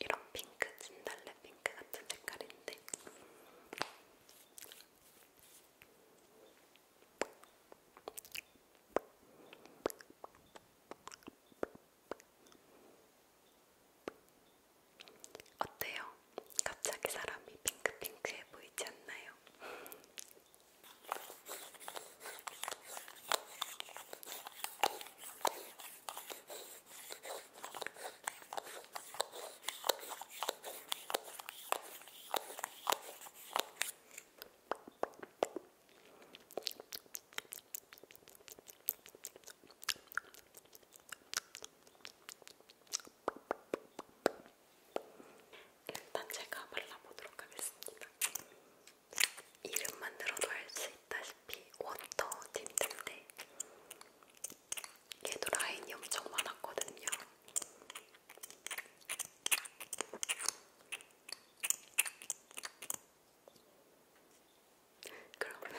이런 핑크, 진달래 핑크 같은 색깔인데 어때요? 갑자기 사람이 핑크핑크해 보이지 않나요? 일단 제가 발라보도록 하겠습니다. 이름만 들어도 알 수 있다시피 워터 틴트인데 얘도 라인이 엄청 많았거든요. 그러면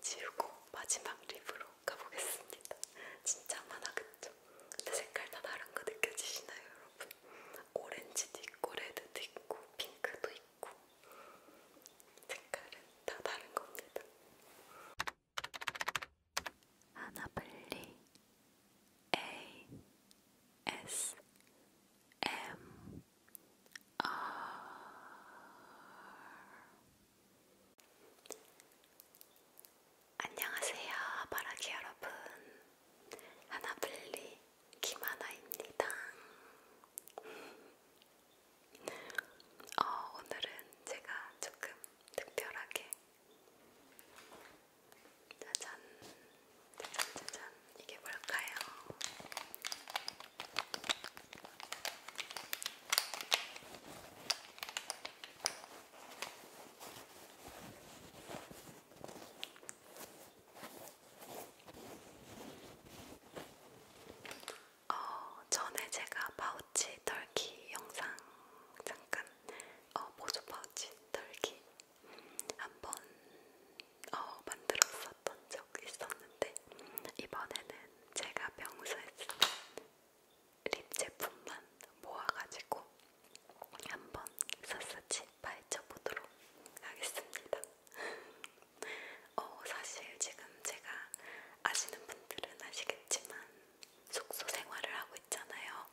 지우고 마지막 립으로 가보겠습니다. 진짜 많아 그쵸? 근데 색깔 다 다른 거 느껴지시나요 여러분? 오렌지도 있고 레드도 있고 핑크도 있고 색깔은 다 다른 겁니다. 하나블리 A S M R 안녕하세요 바라기 여러분 하나블리 김하나입니다. 어, 오늘은 제가 조금 특별하게 짜잔, 짜잔, 짜잔, 이게 뭘까요? 어, 전에 제가 파우치 털기 영상 잠깐 어, 보조 파우치 털기 한번 어, 만들었었던 적 있었는데 이번에는 제가 평소에 쓰는 립 제품만 모아가지고 한번 샅샅이 파헤쳐보도록 하겠습니다. 어, 사실 지금 제가 아시는 분들은 아시겠지만 숙소 생활을 하고 있잖아요.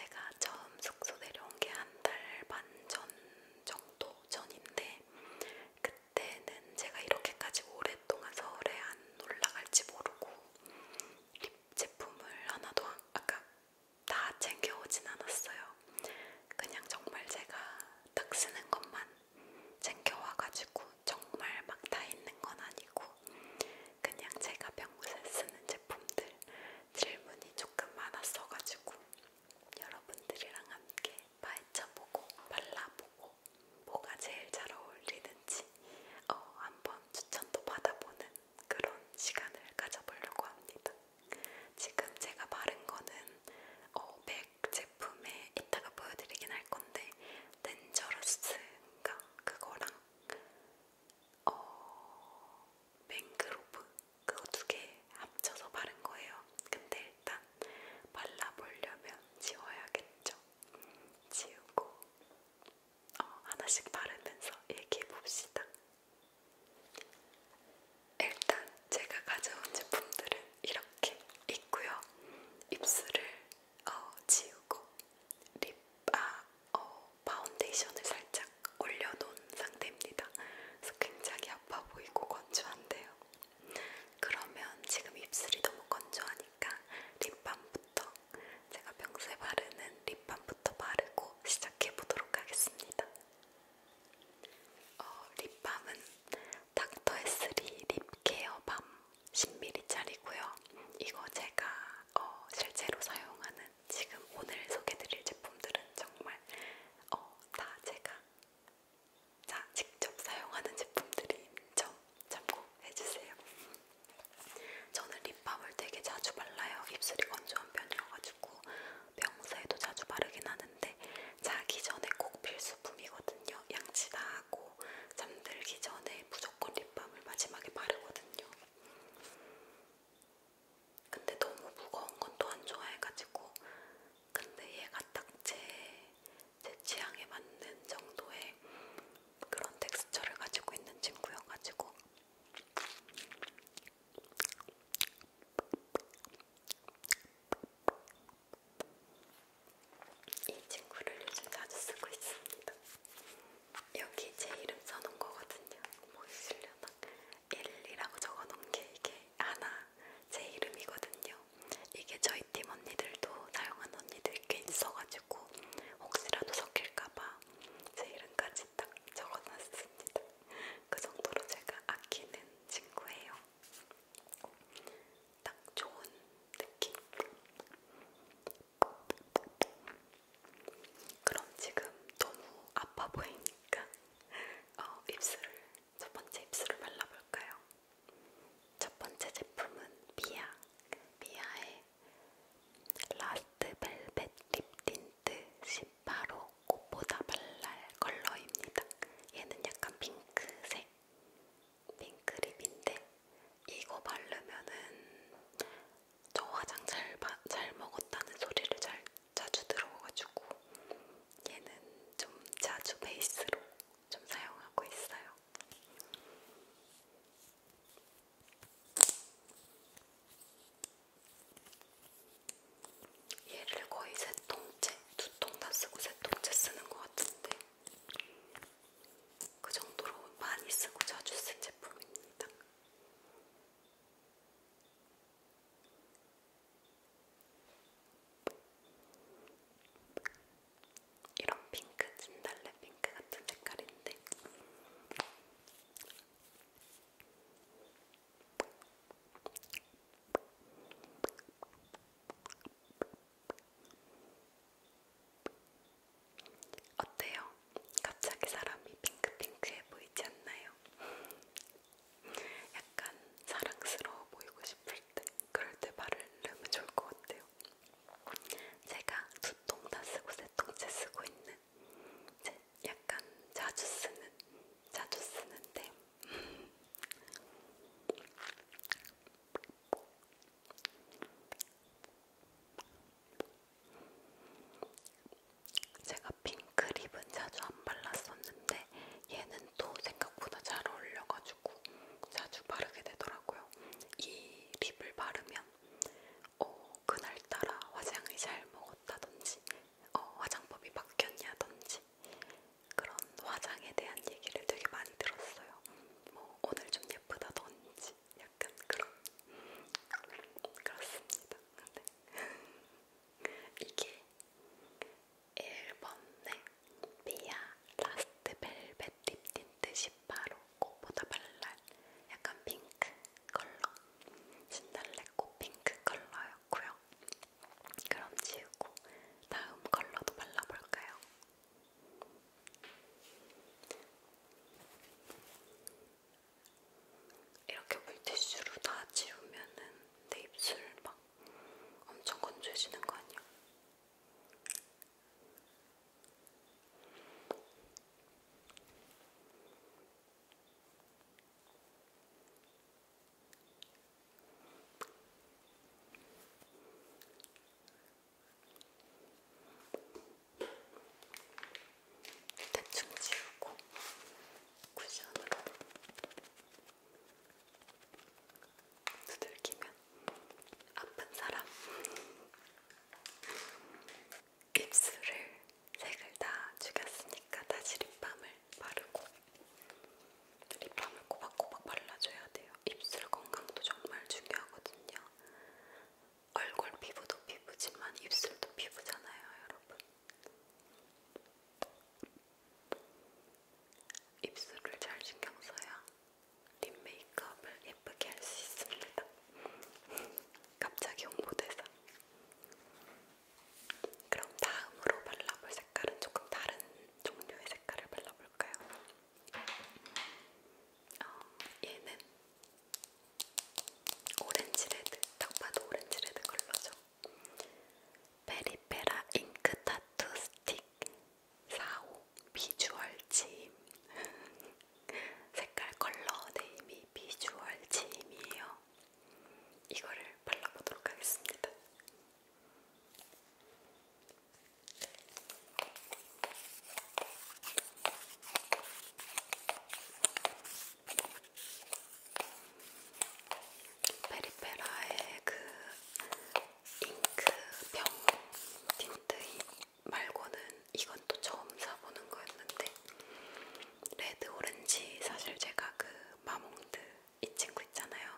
제가 처음 숙소 내려온 게 한 달 반 전 정도 전인데 그때는 제가 이렇게까지 오랫동안 서울에 안 올라갈지 모르고 립 제품을 하나도 아까 다 챙겨오진 않았어요. 그냥 정말 제가 딱 쓰는 것만 챙겨와가지고 정말 막 다 있는 건 아니고 그냥 제가 평소에 쓰는 제품들 질문이 조금 많았어가지고 여러분들이랑 함께 파헤쳐보고 발라보고 뭐가 제일 잘 어울리는지 어, 한번 추천도 받아보는 그런 시간을 가져보려고 합니다. 지금 제가 바른 거는 어, 맥 제품에 이따가 보여드리긴 할 건데 덴저러스인가 그거랑 어, 맹그로브 그거 두개 합쳐서 바른 거예요. 근데 일단 발라보려면 지워야겠죠. 지우고 어, 하나씩 바르면서 얘기해 봅시다. 일단 제가 가져온 제품들은 이렇게 있고요. 입술을 어, 지우고 립, 아, 어, 파운데이션을 살짝 올려놓은 상태입니다. 그래서 굉장히 아파 보이고 건조한데요. 그러면 지금 입술이 너무 건조하니까 립밤부터 제가 평소에 바르는 립밤 립밤부터 바르고 시작해보도록 하겠습니다. 어, 립밤은 닥터에스리 립케어 밤 10ml짜리고요. 이거 제가 어, 실제로 사용하는 지금 오늘 소개드릴 제품들은 정말 어, 다 제가 자, 직접 사용하는 제품들인 점 참고해주세요. 저는 립밤을 되게 자주 발라요. 입술이 건조한 편이어가지고 평소에도 자주 바르긴 하는데 자기 전에 꼭 필수품이거든요. 양치 다 하고 잠들기 전에 무조건 립밤을 마지막에 바르거든요. 근데 너무 무거운 건 또 안 좋아해가지고 근데 얘가 딱 제 제 취향에 맞는 정도의 그런 텍스처를 가지고 있는 친구여가지고 이 친구를 요즘 자주 쓰고 있습니다. 여기 제 이름 써놓은 거거든요. 보이시려나? 1이라고 적어놓은 게 이게 하나 제 이름이거든요. 이게 저희 팀 언니들도 사용한 언니들 꽤 있어가지고 혹시라도 섞일까봐 제 이름까지 딱 적어놨습니다. 그 정도로 제가 아끼는 친구예요. 딱 좋은 느낌. 그럼 지금 너무 아파 보이니까 어, 입술을 첫 번째 입술을 발라볼까요? 첫 번째 제품은 미아, 미아의 라스트 벨벳 립 틴트 18호 꽃보다 발랄 컬러입니다. 얘는 약간 핑크색 핑크 립인데 이거 바르면은 저 화장 잘, 바, 잘 먹었다는 소리를 잘 자주 들어가지고 얘는 좀 자주 베이스로 좀 사용하고 있어요. 얘를 거의 세 통째, 두 통 다 쓰고 세 통째 쓰는 것 같은데 그 정도로 많이 쓰고 자주 쓴 제품입니다. 이런 핑크, 진달래 핑크 같은 색깔인데 어때요? 갑자기 사람이 핑크핑크해 보이지 않나요? 약간 사랑스러워 보이고 싶을 때 그럴 때 바르면 좋을 것 같아요. 제가 두 통 다 쓰고 세통째 쓰고 있는 이제 약간 자주 쓰는 자주 쓰는데 제가 핑크 립은 자주 안 발랐었는데 얘는 또 생각보다 잘 어울려가지고 자주 바르게 되더라고요. 이 립을 바르면 어, 그날따라 화장을 잘 먹었다든지 어, 화장법이 바뀌었냐든지 그런 화장에 대한 얘기를 되게 많이 들었어요. 뭐 오늘 좀 예쁘다든지 약간 그런 그렇습니다. 근데 이게 1번에 미아 라스트 벨벳 립 틴트 바로 꽃보다 발랄 약간 핑크 컬러 신달래 꽃 핑크 컬러였고요. 그럼 지우고 다음 컬러도 발라볼까요? 이렇게 물티슈로 다 지우면은 내 입술 막 엄청 건조해지는 거 아니야? 대충 지우고 쿠션으로 두들기면 아픈 사람 입술을 색을 다 죽였으니까 다시 립밤을 바르고 립밤을 꼬박꼬박 발라줘야 돼요. 입술 건강도 정말 중요하거든요. 얼굴 피부도 피부지만 입술도 피부잖아요, 여러분. 입술을 잘 신경 써야 립 메이크업을 예쁘게 할 수 있습니다. 갑자기 홍보대사. 그럼 다음으로 발라볼 색깔은 조금 다른 종류의 색깔을 발라볼까요? 어, 얘는 오렌지 레드, 딱 봐도 오렌지 레드 컬러죠. 베리페라 잉크 타투 스틱 45 비주얼 침 색깔 컬러 네임이 비주얼 지임이에요. 이거를 발라보도록 하겠습니다. 페리페라의 그 잉크 병 틴트인 말고는 이건 또 처음 사보는 거였는데 레드 오렌지 사실 제가 그 마몽드 이 친구 있잖아요.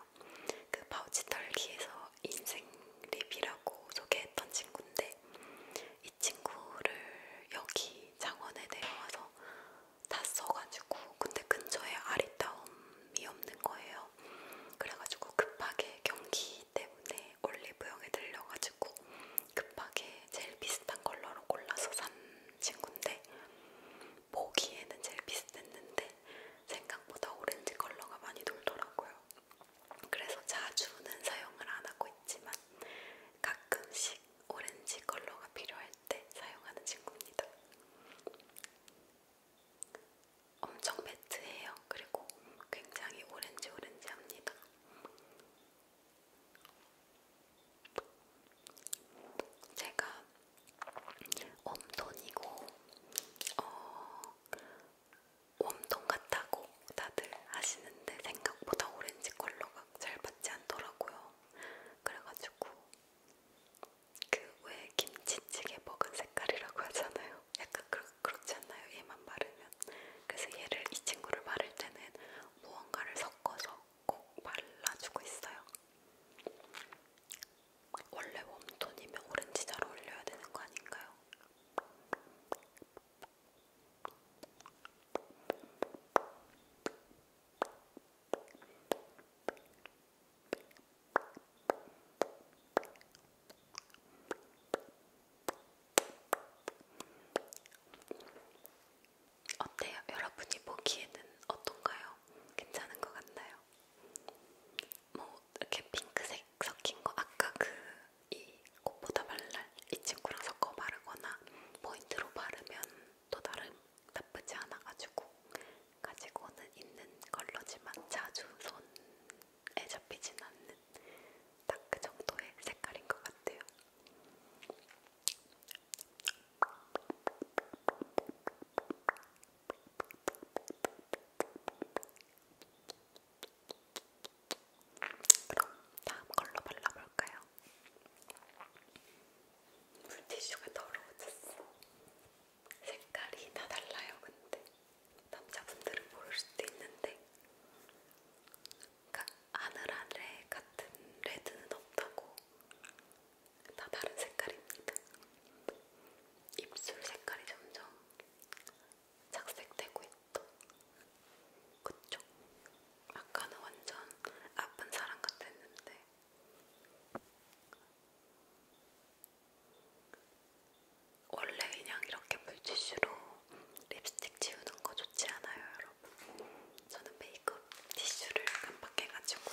그 파우치 털기에서 인생 립이라고 소개했던 친구인데 이 친구를 여기 장원에 내려와서 다 써가지고 근데 근처에 아리따움이 없는 거예요. 그래가지고 급하게 경기 때문에 올리브영에 들려가지고 급하게 제일 비슷한 컬러로 골라서 산 친구인데 보기에는 제일 비슷했는데 생각보다 오렌지 컬러가 많이 돌더라고요. 그래서 자주는 사용을 안 하고 있지만 가끔씩 오렌지 컬러가 필요할 때 사용하는 친구입니다. 엄청 매트해요. 그리고 굉장히 오렌지 오렌지합니다. 제가 웜톤이고 어, 웜톤 같다고 다들 하시는데 생각보다 오렌지 컬러가 잘 받지 않더라고요. 그래가지고 그 왜 김치찌개 먹은 색깔이라고 하잖아요. 약간 그렇, 그렇지 않나요? 얘만 바르면. 그래서 얘를 이 친구를 바를 때는 무언가를 섞어서 꼭 발라주고 있어요. 원래 웜톤이면 오렌지 잘 어울려야 되는 거 아닌가요? 어때요? 여러분이 보기에는 어떤가요? 괜찮은 것 같나요? 뭐 이렇게 핑크색 섞인 거 아까 그 이 꽃보다 발랄 이 친구랑 섞어 바르거나 포인트로 바르면 또 다른 나쁘지 않아가지고 가지고는 있는 컬러지만 자주 손에 잡히진 않는 딱그 정도의 색깔인 것 같아요. 그럼 다음 걸로 발라볼까요? 물티슈가 더러워졌어. 색깔이 다 달라요, 근데. 남자분들은 모를 수도 있는데 그러니까 하늘하늘에 같은 레드는 없다고 다 다른 색깔입니다. 입술 색깔이 점점 착색되고 있죠. 그쵸? 아까는 완전 아픈 사람 같았는데 원래 그냥 이렇게 물티슈로 립스틱 지우는 거 좋지 않아요, 여러분? 저는 메이크업 티슈를 깜빡해가지고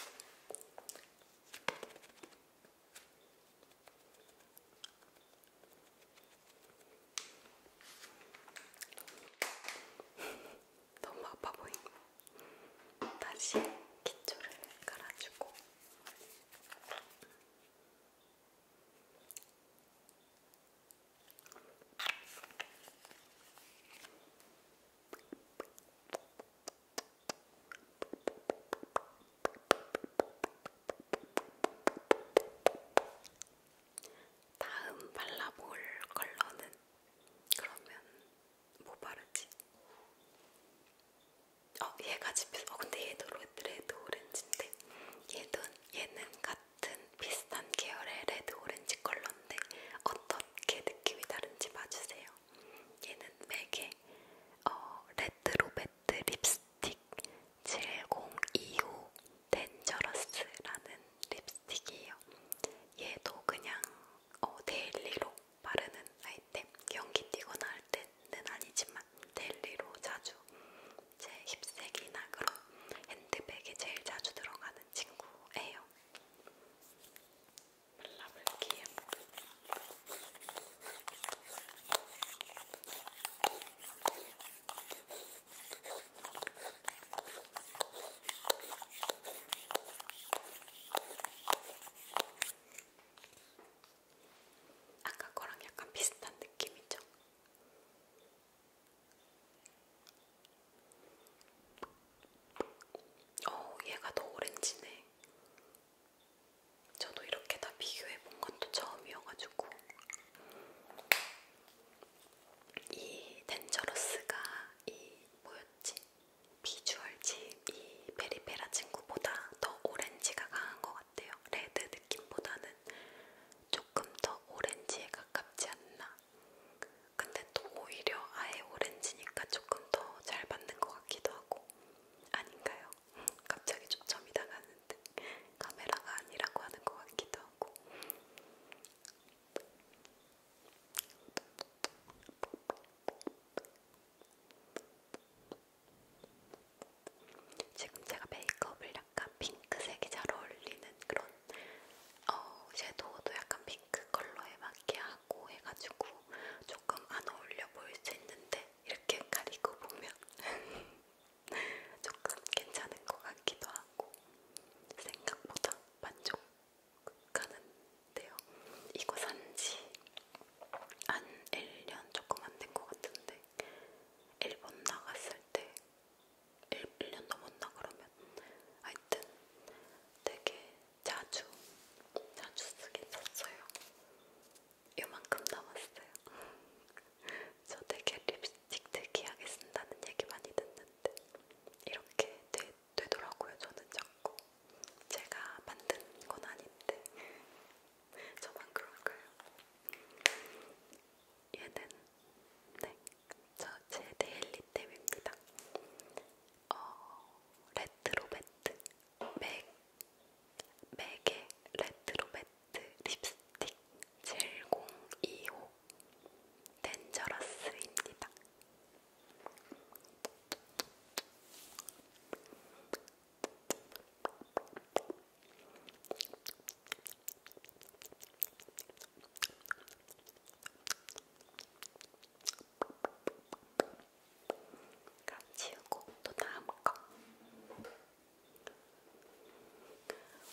너무 아파 보이고 다시 기초를 깔아주고 다음 발라볼 컬러는 그러면 뭐 바르지? 어, 얘가 집에서 어, 근데 얘도 레드 오렌지인데 얘도 얘는 같은 비슷한 계열의 레드 오렌지 컬러인데 어떻게 느낌이 다른지 봐주세요. 얘는 맥의 어, 레드 로베트 립스틱 7025 덴저러스라는 립스틱이에요. 얘도 그냥 어, 데일리로 바르는 아이템, 연기 띄거나 할 때는 아니지만 데일리로 자주 제 힙색이나 그런 핸드백에 제일 자주 들어가는 친구예요. 발라볼게요. 아까 거랑 약간 비슷한 느낌이죠? 어, 얘가 더 오렌지네. 저도 이렇게 다 비교해 본 건 또 처음이어가지고 이 덴저러스가 이 뭐였지? 비주얼 집이 베리페라 친구보다 더 오렌지가 강한 것 같아요. 레드 느낌보다는 조금 더 오렌지에 가깝지 않나. 근데 또 오히려 아예 오렌지니까 조금 더잘 받는 것 같기도 하고. 아닌가요? 갑자기 초점이 나가는데 카메라가 아니라고 하는 것 같기도 하고. 지금 제가 메이크업을 약간 핑크색이 잘 어울리는 그런 어, 섀도우도 약간 핑크 컬러에 맞게 하고 해가지고 조금 안 어울려 보일 수 있는데 이렇게 가리고 보면 조금 괜찮은 것 같기도 하고 생각보다 만족하는데요. 이거 산지 한 1년 조금 안 된 것 같은데 일본 나갔을 때 1, 1년 넘었나 그러면 하여튼 되게 자주 자주 쓰긴 썼어요. 요만큼 남았어요. 저 되게 립스틱 특이하게 쓴다는 얘기 많이 듣는데 이렇게 되, 되더라고요. 저는 자꾸 제가 만든 건 아닌데 저만 그럴까요? 얘는 네, 저제 데일리템입니다. 어, 레트로 매트 맥 맥의 레트로 매트 립스틱 7025 덴저러스입니다. 그럼 지우고 또 다음 거.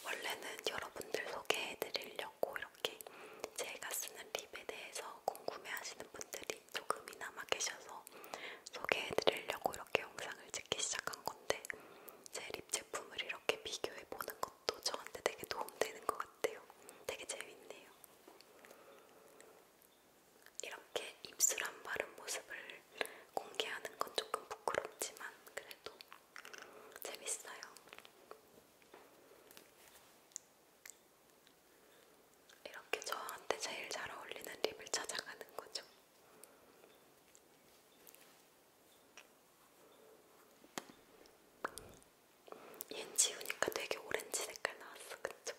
원래는 여러분들 소개해드리려고 이렇게 제가 쓰는 립에 대해서 궁금해하시는 분들이 조금이나마 계셔서 소개해드리려고 이렇게 영상을 찍기 시작한 건데 제 립 제품을 이렇게 비교해 보는 것도 저한테 되게 도움되는 것 같아요. 되게 재밌네요. 이렇게 입술 안 바른 모습을 공개하는 건 조금 부끄럽지만 그래도 재밌어요. 이렇게 저한테 제일 잘 어울리는 립을 찾아가는 거죠. 얜 지우니까 되게 오렌지 색깔 나왔어, 그쵸?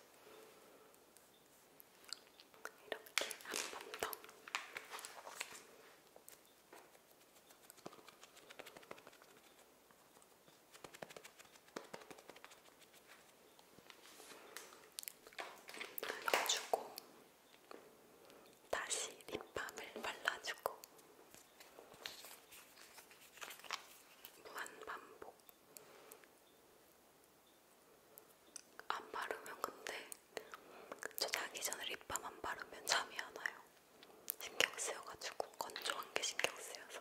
이렇게 한 번 더. 발라주고 다시 립밤을 발라주고 무한 반복. 안 바르면 근데 저 자기 전에 립밤 안 바르면 잠이 안 와요. 신경 쓰여가지고 건조한 게 신경 쓰여서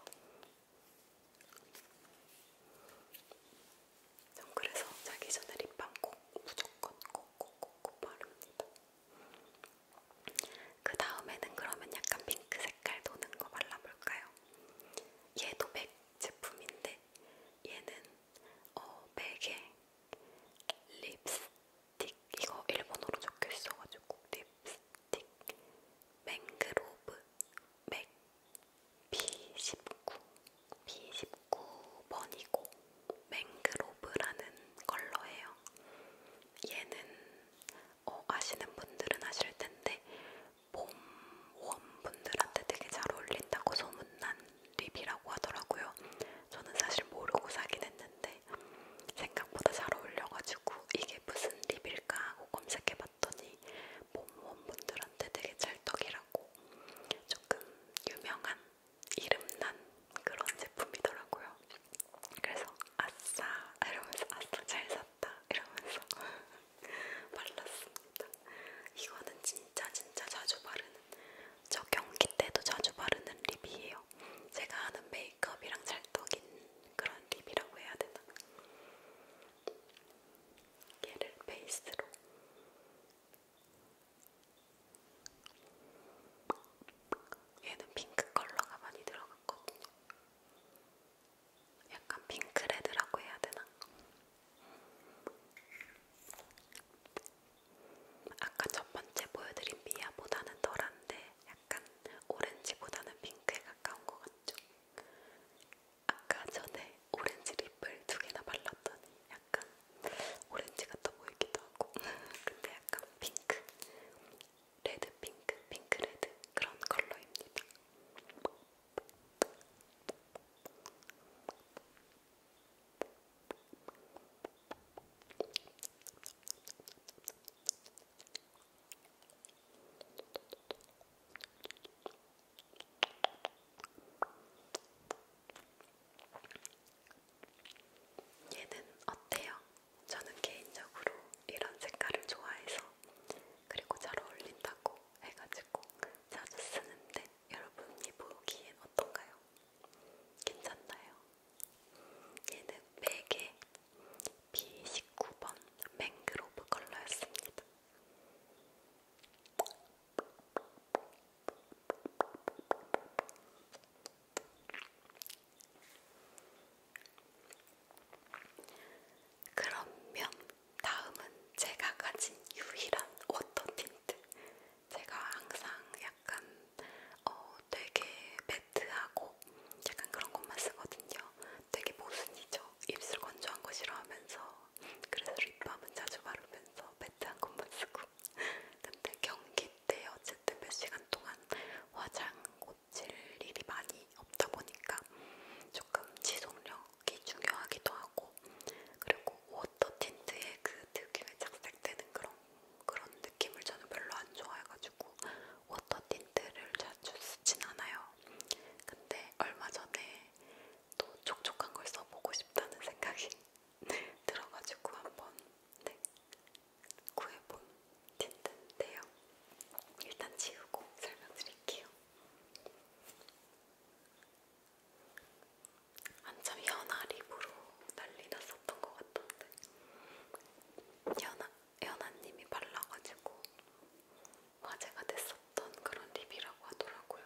전 그래서 자기 전에 립밤 꼭 무조건 꼭꼭꼭 꼭 바릅니다. 그 다음에는 그러면 약간 핑크 색깔 도는 거 발라볼까요? 얘도 맥 제품인데 얘는 어 맥에 립스틱 이거 일본어로 적혀 있어가지고 립스틱 맹그로브 맥 B19, B19번이고 맹그로브라는 컬러예요. 얘는 어, 아시는 분들은 아실 텐데 봄원 분들한테 되게 잘 어울린다고 소문난 립이라고 하더라고요. 저는 사실 모르고 사긴 했는데 생각보다 잘 어울려가지고 이게 무슨 립일까 하고 검색해봤더니 봄원 분들한테 되게 찰떡이라고 조금 유명한 이름난 그런 제품이더라고요. 그래서 아싸 이러면서 아싸 잘 샀다 이러면서 발랐습니다. 이거는 진짜 진짜 자주 바르는 저 경기 때도 자주 바르는 립이에요. 제가 하는 메이크업이랑 찰떡인 그런 립이라고 해야 되나? 얘를 베이스로 얘는 핑크 컬러가 많이 들어갔거든요. 약간 핑크레드라고 해야 되나? 아까 첫 번째 보여드린 미아보다는 덜한데 약간 오렌지보다는 핑크에 가까운 것 같죠? 아까 전에 오렌지 립을 두 개나 발랐더니 약간 오렌지 같아 보이기도 하고 근데 약간 핑크, 레드 핑크, 핑크 레드 그런 컬러입니다. 얘는 어때요? 저는 개인적으로 이런 색깔을 좋아해서 그리고 잘 어울린다고 해가지고 자주 쓰는데 여러분이 보기엔 어떤가요? 괜찮나요? 얘는 맥의 B19번 맹그로브 컬러였습니다. 그러면 다음은 제가 가진 유일한 워터 틴트. 제가 항상 약간 어, 되게 매트하고 약간 그런 것만 쓰거든요. 되게 모순이죠. 입술 건조한 거 싫어하면서 그래서 립밤은 자주 바르면서 매트 한 곳만 쓰고 근데 경기 때 어쨌든 몇 시간 동안 화장 고칠 일이 많이 없다 보니까 조금 지속력이 중요하기도 하고 그리고 워터 틴트의 그 특유의 착색되는 그런 그런 느낌을 저는 별로 안 좋아해가지고 워터 틴트를 자주 쓰진 않아요. 근데 얼마 전에 또 촉촉한 걸 써보고 싶다는 생각이 들어가지고 한번 네, 구해본 틴트인데요. 일단 지우고 설명드릴게요. 한참 연아 립으로 난리 났었던 것 같던데 연아, 연아님이 발라가지고 화제가 됐었던 그런 립이라고 하더라고요.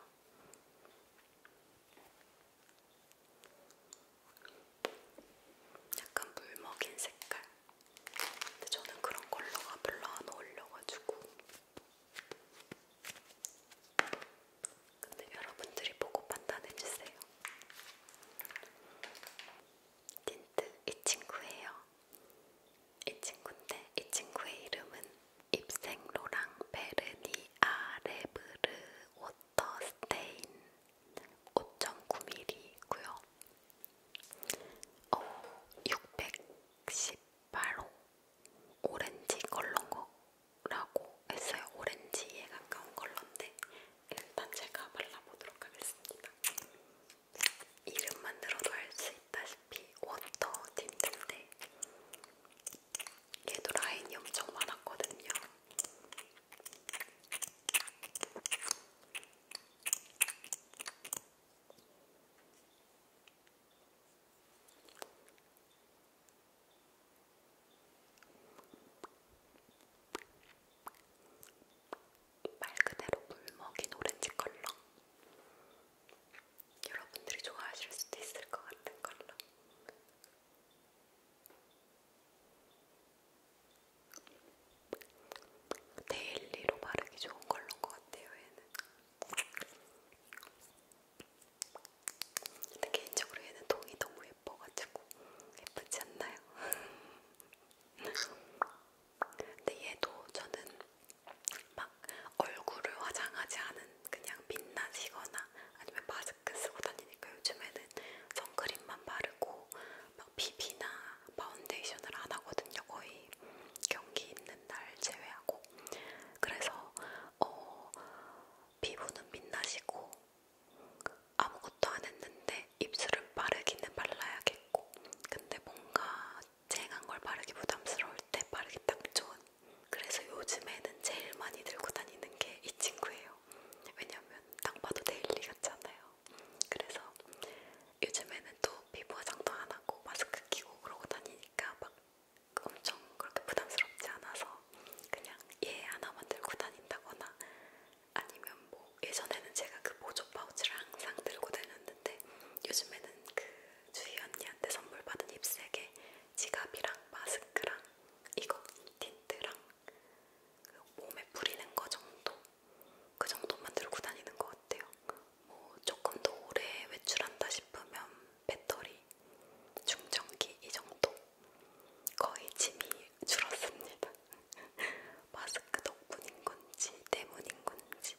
약간 물 먹인 색깔. 근데 저는 그런 컬러가 별로 안 어울려가지고. 근데 여러분들이 보고 판단해주세요. 틴트 이 친구예요. 이 친구인데 이 친구의 이름은 입생로랑 베르니아 레브르 워터스테인 5.9mm이고요. 어, 618호 오렌지 컬러라고 했어요. 오렌지에 가까운 컬러인데 일단 제가 발라보도록 하겠습니다. 이름만 들어도 알 수 있다시피 아시다시피 워터 틴트인데 얘도 라인이 엄청 많았거든요. 말 그대로 물 먹인 오렌지 컬러 여러분들이 좋아하실 수도 있을 것 같은 걸로. 데일리로 바르기 좋은 걸로인 것 같아요, 얘는. 근데 개인적으로 얘는 동이 너무 예뻐가지고 예쁘지 않나요? 근데 얘도 저는 막 얼굴을 화장하지 않은 그냥 빛나시거나 아니면 마스크 쓰고 다니니까 요즘에는 선크림만 바르고 막 비비나 파운데이션을 안 하거든요. 거의 경기 있는 날 제외하고 그래서 어, 피부는 빛나시고 아무것도 안 했는데 입술은 빠르기는 발라야겠고 근데 뭔가 쨍한 걸 바르기 부담스러울 때 바르기 딱 좋은 그래서 요즘에는 제일 많이 들고 다니는 게 이 친구예요. 왜냐면 딱 봐도 데일리 같잖아요. 그래서 요즘에는 또 피부 화장도 안 하고 마스크 끼고 그러고 다니니까 막 엄청 그렇게 부담스럽지 않아서 그냥 얘 예, 하나만 들고 다닌다거나 아니면 뭐 예전에는 제가 그 보조 파우치를 항상 들고 다녔는데 요즘에는 그 주희 언니한테 선물 받은 힙색에 지갑이랑 마스크랑 이거 틴트랑 그 몸에 뿌리는 거 정도 그 정도만 들고 다니는 것 같아요. 뭐 조금 더 오래 외출한다 싶으면 배터리, 충전기 이 정도 거의 짐이 줄었습니다. 마스크 덕분인 건지 때문인 건지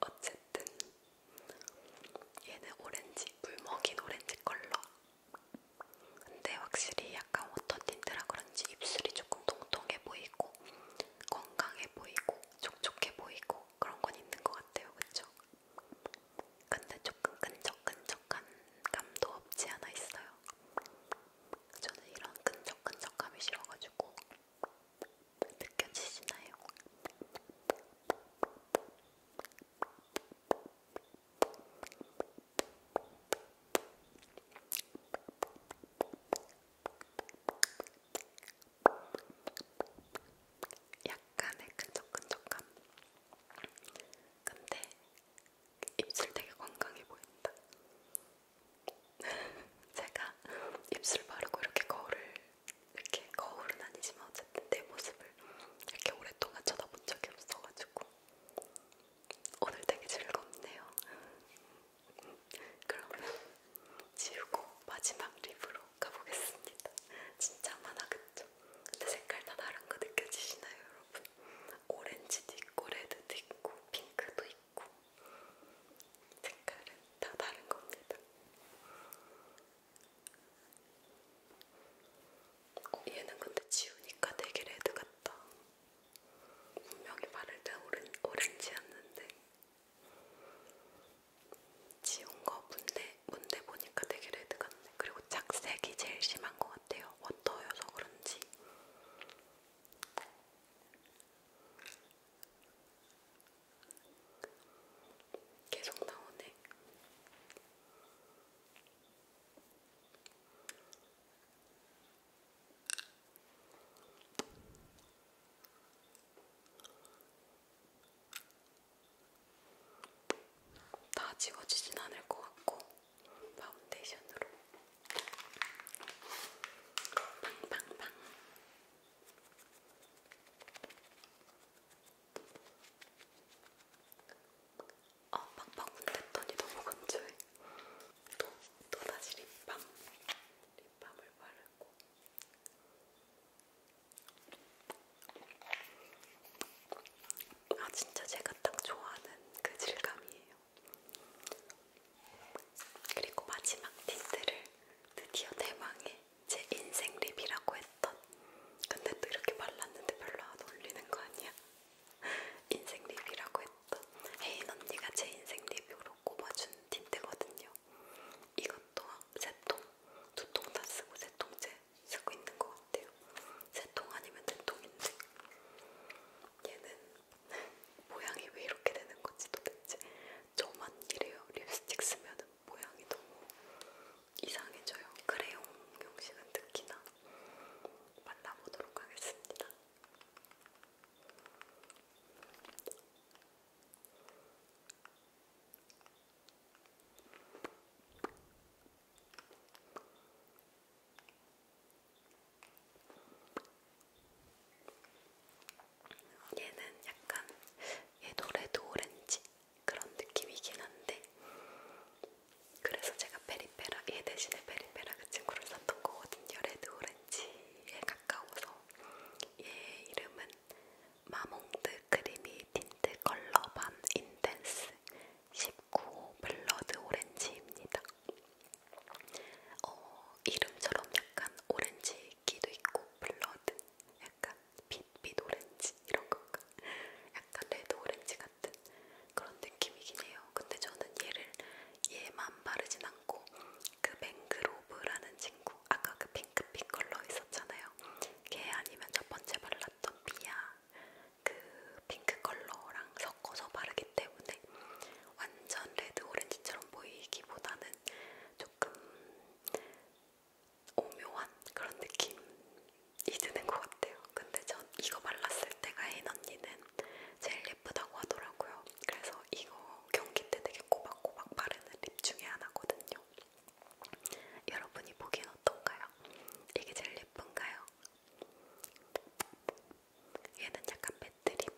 어쨌든 얘는 오렌지, 물 먹인 오렌지 컬러. 근데 확실히 약간 워터 틴트라 그런지 입술이 조금 통통해 보이고 건강해 보이고 촉촉해 보이고 그런 건 있는 것 같아요, 그쵸? 근데 조금 끈적끈적한 감도 없지 않아 있어요. 저는 이런 끈적끈적함이 싫어가지고 느껴지시나요? 약간의 끈적끈적함. 근데 입술 되게 건강해 보인다. 제가 입술 바르고 이렇게 거울을 이렇게 거울은 아니지만 어쨌든 내 모습을 이렇게 오랫동안 쳐다본 적이 없어가지고 오늘 되게 즐겁네요. 그러면 지우고 마지막 립으로 가보겠습니다. 진짜 많아 그쵸? 근데 색깔 다 다른 거 느껴지시나요 여러분? 오렌지도 있고 레드도 있고 핑크도 있고 있고 색깔은 다 다른 겁니다. 어, 얘는 근데 지우니까 되게 레드 같다. 분명히 바를 때 오렌, 오렌지였는데 지운 거 문대, 문대 보니까 되게 레드 같네. 그리고 착색이 제일 심한 것 같아요. 워터여서 그런지. 계속 나오네. 다 지워지진 않을 것 같고 파운데이션으로 팡팡팡 아, 팍팍 문댔더니 너무 건조해. 또, 또 다시 립밤. 립밤을 바르고. 아, 진짜 제가 딱 좋아하는 그 질감이에요. 그리고 마지막 틴트를 드디어 대망의 제 인생 립이라고 했던 근데 또 이렇게 발랐는데 별로 안 어울리는 거 아니야? 인생 립이라고 했던 헤인 언니가 제 인생 립으로 꼽아준 틴트거든요. 이것도 세통 두 통 다 쓰고 세 통째 쓰고 있는 것 같아요. 세 통 아니면 세 네 통인데 얘는 모양이 왜 이렇게 되는 건지 도대체 저만 이래요. 립스틱 쓰면 모양이 너무 이상해져요. 크레용 형식은 특히나 발라보도록 하겠습니다. 얘는 약간 얘도 레드 오렌지 그런 느낌이긴 한데 그래서 제가 페리페라 얘 대신에 페리페라 그 친구를 샀던 거거든요. 레드 오렌지에 가까워서 얘 이름은 마몽드 크리미 틴트 컬러 반 인텐스 19 블러드 오렌지입니다. 어, 이름처럼 약간 오렌지기도 있고 블러드 약간 빛빛 오렌지 이런 건가? 약간 레드 오렌지 같은 그런 느낌이긴 해요. 근데 저는 얘를 얘만 바르진 않고 그 맹그로브라는 친구 아까 그 핑크빛 컬러 있었잖아요. 걔 아니면 첫 번째 발랐던 비야 그 핑크 컬러랑 섞어서 바르기 때문에 완전 레드 오렌지처럼 보이기보다는 조금 오묘한 그런 느낌이 드는 것 같아요. 근데 전 이거 발랐을 때가 혜인 언니는 제일 예쁘다고 하더라고요. 그래서 이거 경기 때 되게 꼬박꼬박 바르는 립 중에 하나거든요. 여러분이 보기엔 어떤가요? 이게 제일 예쁜가요? 얘는 약간 맷드립.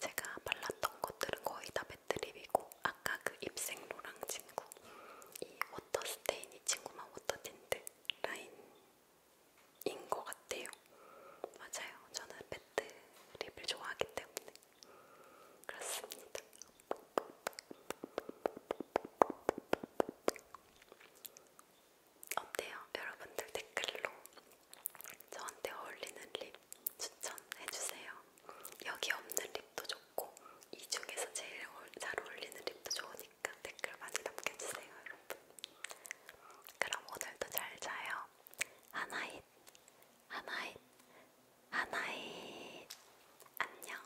제가 발랐던 것들은 거의 다 맷드립이고 아까 그 입생로랑 친구 이 워터 스테인 이 친구만 워터 틴트 라인인 것 같아요. 맞아요. 저는 맷드립을 좋아하기 때문에 그렇습니다. 어때요? 여러분들 댓글로 저한테 어울리는 립 추천해주세요. 여기 없는 립도 좋고 이 중에서 제일 잘 어울리는 립도 좋으니까 댓글 많이 남겨주세요, 여러분. 그럼 오늘도 잘 자요. 하나잇, 하나잇, 하나잇. 안녕.